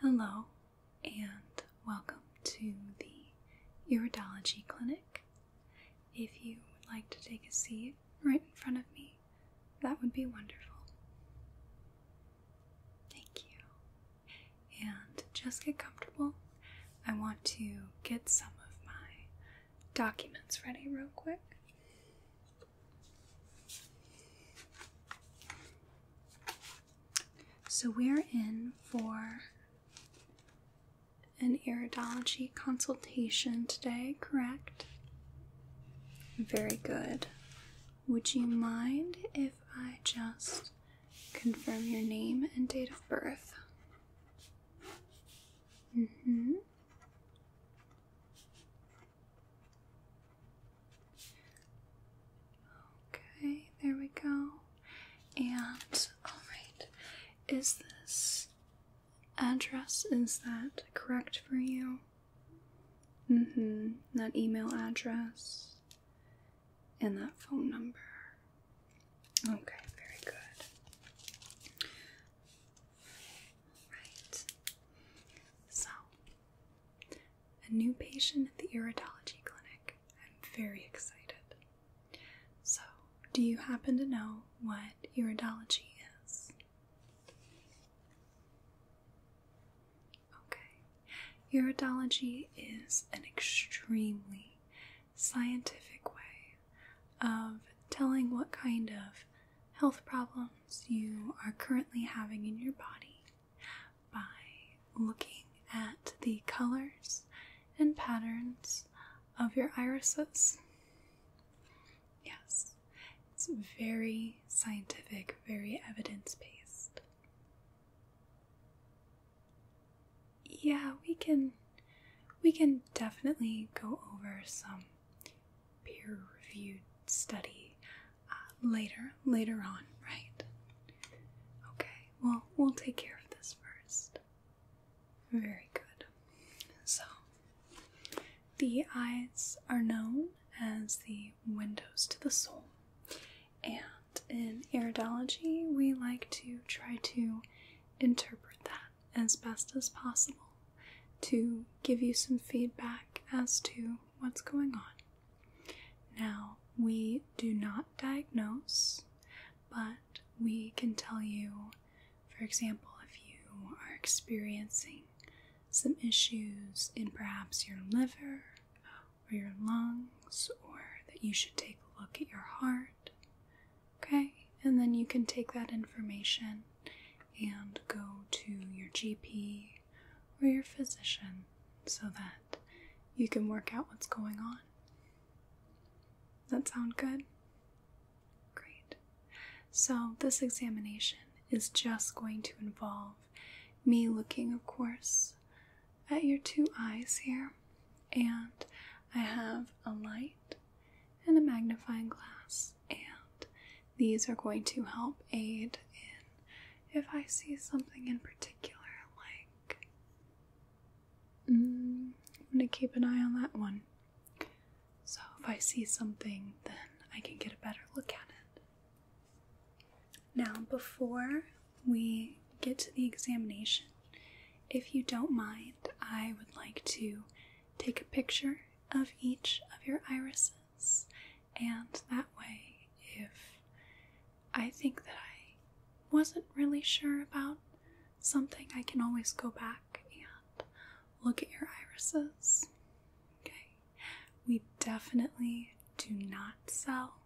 Hello, and welcome to the Iridology Clinic. If you would like to take a seat right in front of me, that would be wonderful. Thank you and just get comfortable. I want to get some of my documents ready real quick. So, we're in for an iridology consultation today, correct? Very good. Would you mind if I just confirm your name and date of birth. Mm-hmm. Okay, there we go. And, alright, is this address, is that correct for you? Mm hmm. That email address and that phone number. Okay, very good. Right. So, a new patient at the iridology clinic. I'm very excited. So, do you happen to know what iridology is? Okay. Iridology is an extremely scientific way of telling what kind of health problems you are currently having in your body by looking at the colors and patterns of your irises. Yes, it's very scientific, very evidence based yeah, we can we can definitely go over some peer-reviewed study uh, later later on, right? Okay. Well, we'll take care of this first. Very good. So, the eyes are known as the windows to the soul, and in iridology, we like to try to interpret that as best as possible to give you some feedback as to what's going on. Now, we do not diagnose, but we can tell you, for example, if you are experiencing some issues in perhaps your liver or your lungs, or that you should take a look at your heart. Okay, and then you can take that information and go to your GP or your physician so that you can work out what's going on. That sound good? Great. So, this examination is just going to involve me looking, of course, at your two eyes here, and I have a light and a magnifying glass, and these are going to help aid in if I see something in particular, like. Mm, I'm going to keep an eye on that one. So if I see something, then I can get a better look at it. Now, before we get to the examination, if you don't mind, I would like to take a picture of each of your irises, and that way, if I think that I wasn't really sure about something, I can always go back and look at your irises. Okay. We definitely do not sell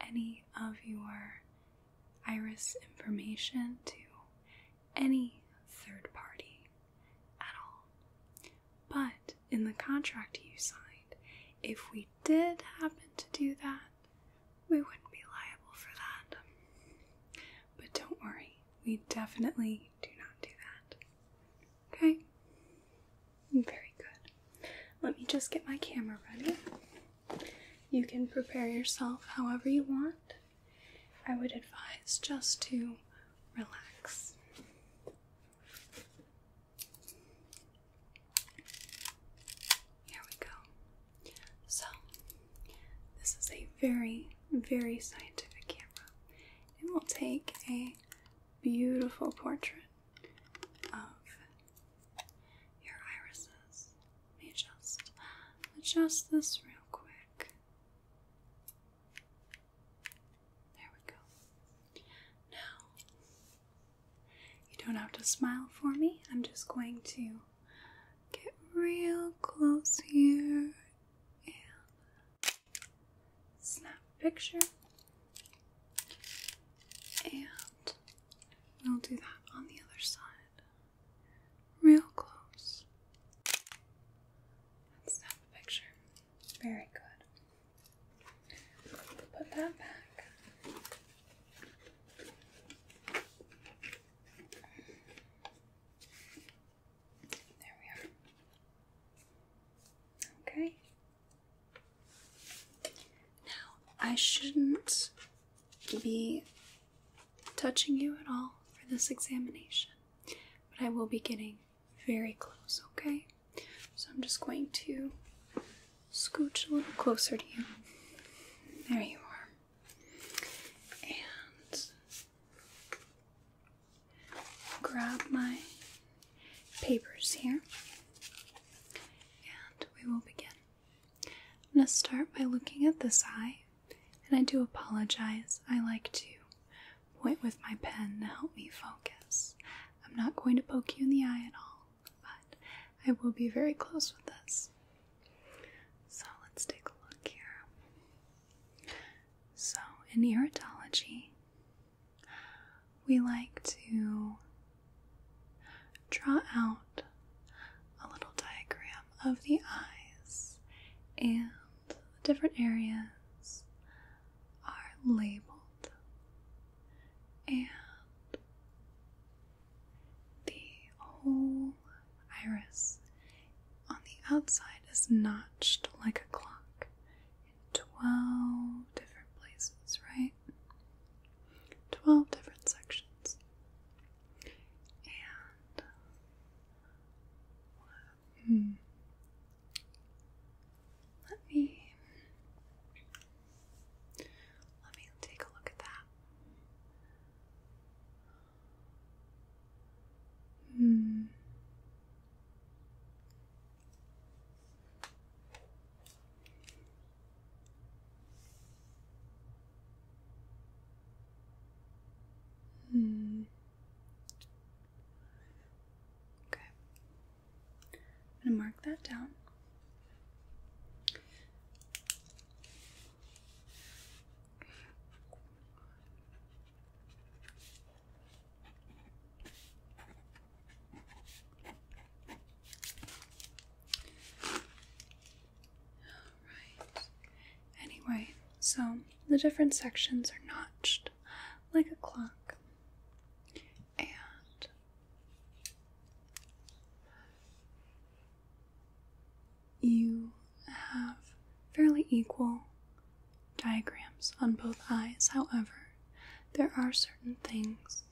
any of your iris information to any third party at all. But in the contract you signed, if we did happen to do that, we wouldn't be liable for that. But don't worry, we definitely do not do that. Okay? Very good. Let me just get my camera ready. You can prepare yourself however you want. I would advise just to relax. Here we go. So, this is a very, very scientific camera. and we will take a beautiful portrait of your irises. Let me just adjust this real quick. There we go. Now, you don't have to smile for me. I'm just going to get real close here snap picture, and we'll do that on the other side real close. Let's snap picture. Very good. Put that back. There we are. Okay. Now, I shouldn't be touching you at all for this examination, but I will be getting very close, okay? So I'm just going to scooch a little closer to you. There you are. And grab my papers here and we will begin. I'm going to start by looking at this eye, and I do apologize. I like to point with my pen to help me focus. I'm not going to poke you in the eye at all, but I will be very close with this. So let's take a look here. So, in iridology, we like to draw out a little diagram of the eyes, and the different areas are labeled, and the whole iris on the outside is notched like a clock in 12 different places, right? 12 different sections. And hmm, let me let me take a look at that. Hmm. Hmm. Okay. I'm going to mark that down. Alright. Anyway, so the different sections are notched like a clock. And you have fairly equal diagrams on both eyes. However, there are certain things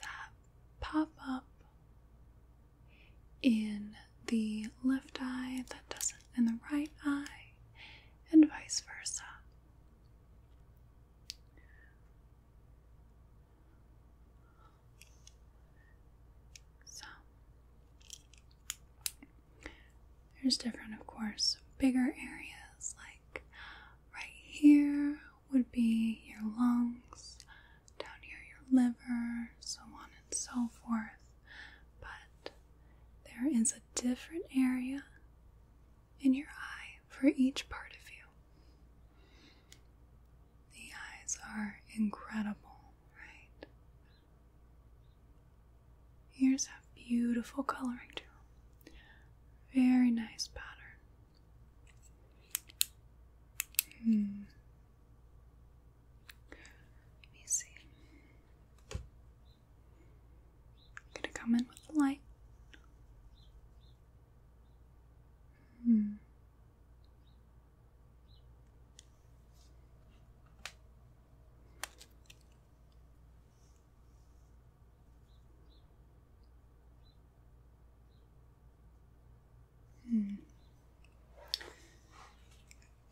that pop up in the left eye that doesn't in the right eye, and vice versa. So, there's different, of course, bigger areas like right here would be your lungs, down here, your liver, so on and so forth. But there is a different area in your eye for each part of you. The eyes are incredible, right? Here's that beautiful coloring too. Very nice pattern. Hmm. Let me see. gonna come in with light. Hmm. Hmm. I'm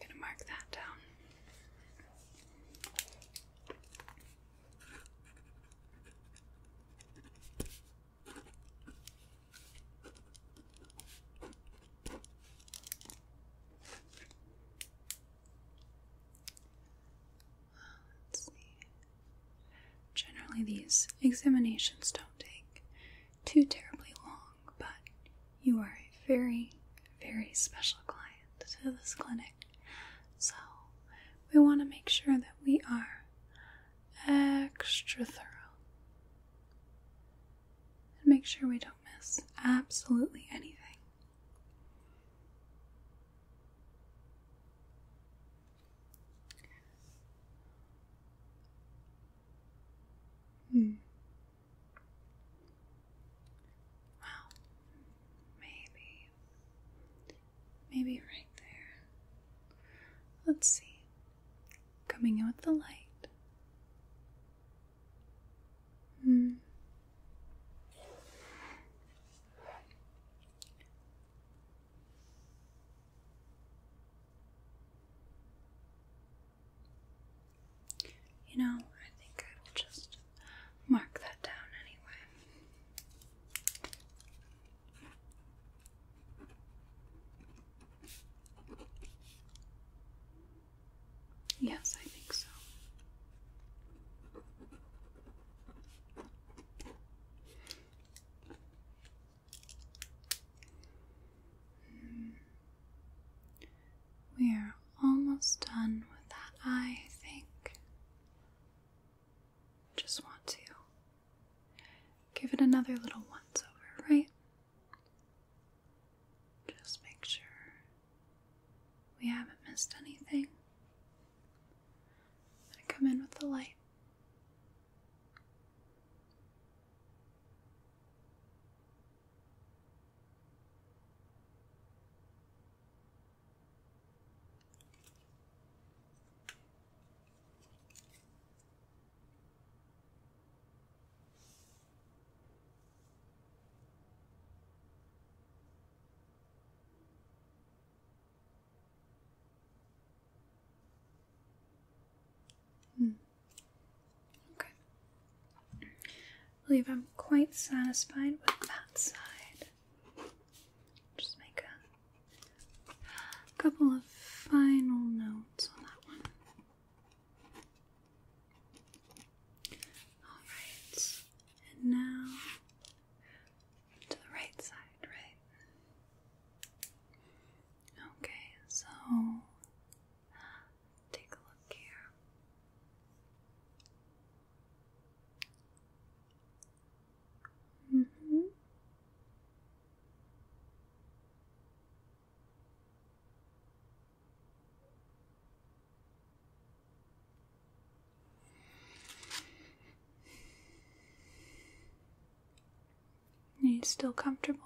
gonna mark that down. Generally, these examinations don't take too terribly long, but you are a very, very special client to this clinic. So, we want to make sure that we are extra thorough and make sure we don't miss absolutely anything. Hmm. Well, maybe. Maybe right there. Let's see. Coming in with the light. Hmm. You know, I think I will just mark that down anyway. Yes, I think so. Hmm. We are almost done with that I think. Just want to give it another little once over, right? Just make sure we haven't missed anything. i come in with the light. I hmm. believe I'm quite satisfied with that side. Just make a couple of final notes on that one. Alright, and now to the right side, right? Okay, so take a look here. Mm -hmm. Are you still comfortable?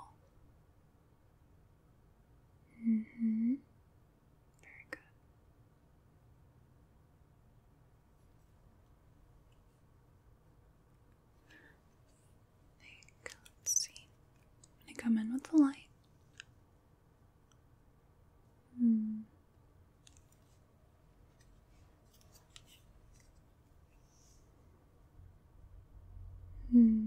hmm. Very good. Let's see. I'm gonna come in with the light. Hmm. Hmm.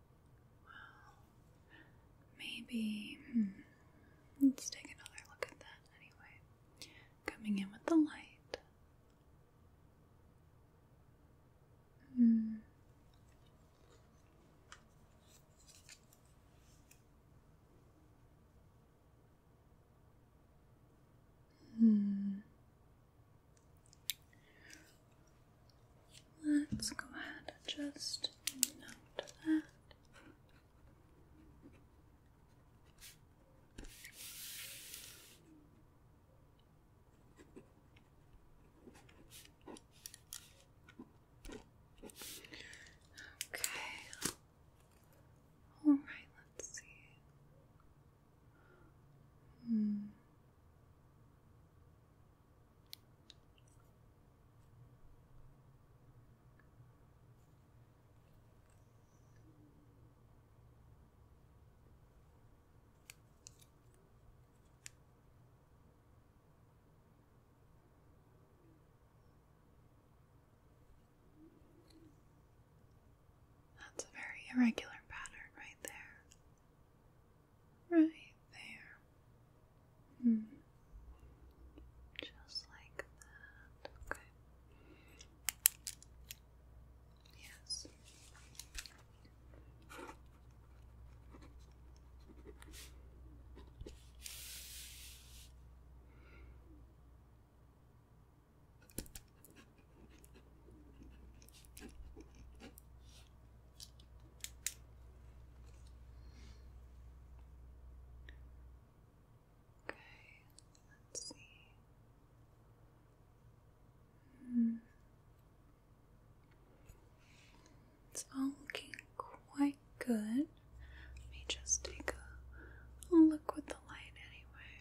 Well, maybe. Hmm. let's take another look at that anyway. Coming in with the light. Hmm. Hmm. Let's go ahead and just note that. Okay. All right, let's see. Hmm. That's a very irregular pattern right there right there. Mm. Just like that. Okay. Yes. Okay, let's see. Hmm. It's all looking quite good. Let me just take a look with the light anyway.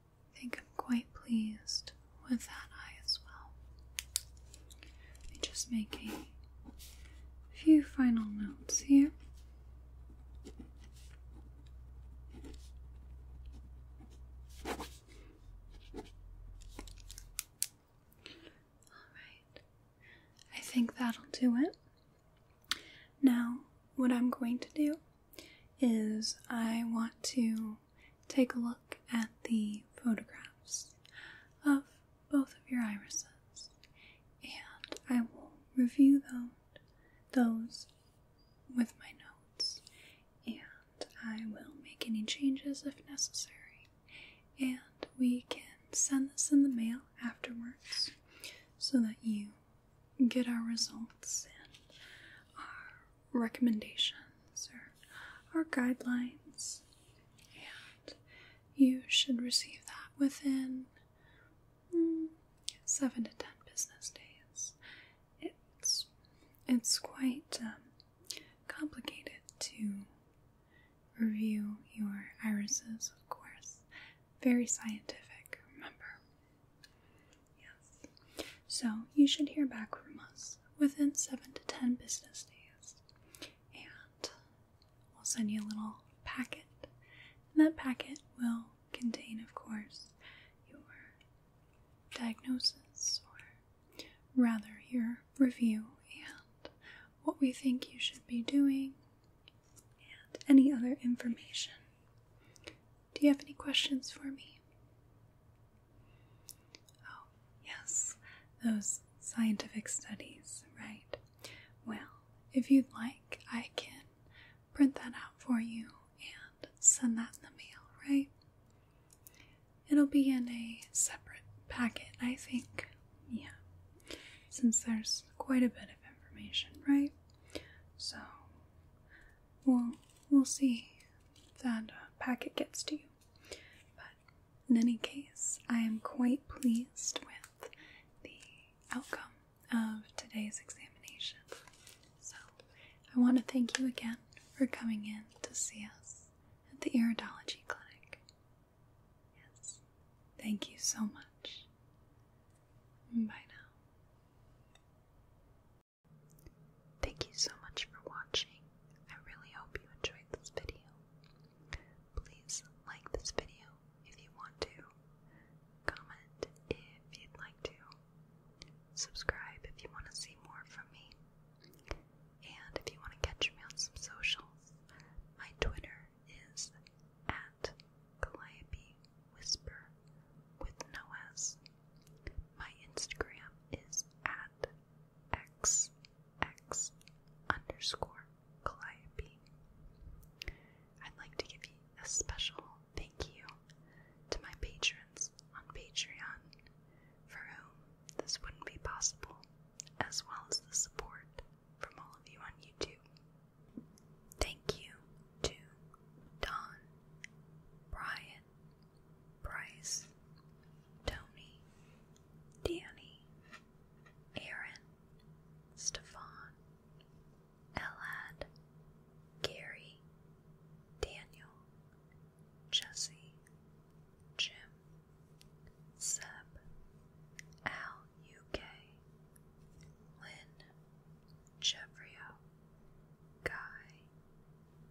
I think I'm quite pleased with that eye as well. Let me just make a few final notes here. Alright, I think that'll do it. Now, what I'm going to do is I want to take a look at the photographs of both of your irises and I will review those with my notes and I will make any changes if necessary and we can send this in the mail afterwards so that you get our results and our recommendations or our guidelines, and you should receive that within hmm, seven to ten business days. It's it's quite um, complicated to review your irises, of course. Very scientific, remember. Yes. So you should hear back from us within 7 to 10 business days. And we'll send you a little packet. And that packet will contain, of course, your diagnosis or rather your review and what we think you should be doing and any other information. Do you have any questions for me? Oh, yes, those scientific studies, right? Well, if you'd like, I can print that out for you and send that in the mail, right? It'll be in a separate packet, I think. Yeah, since there's quite a bit of information, right? So we'll we'll see if that uh, packet gets to you. But in any case, I am quite pleased with the outcome of today's examination. So I want to thank you again for coming in to see us at the iridology clinic. Yes. Thank you so much. Bye now. Thank you so much for watching. I really hope you enjoyed this video. Please like this video if you want to, comment if you'd like to, subscribe if you want to see more from me, and if you want to catch me on some socials, my Twitter is at Calliope Whisper with no My Instagram is at xx underscore Calliope. I'd like to give you a special thank you to my patrons on Patreon, for whom this wouldn't be possible, as well as the support from all of you on YouTube. Thank you to Don, Brian, Bryce, Tony, Danny, Aaron, Stefan, Elad, Gary, Daniel, Jesse, Jim, Seb, Al UK, Lynn, Jeffrio, Guy,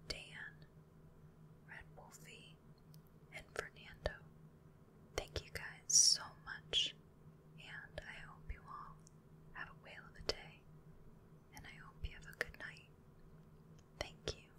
Dan, Red Wolfie, and Fernando. Thank you guys so much, and I hope you all have a whale of a day, and I hope you have a good night. Thank you.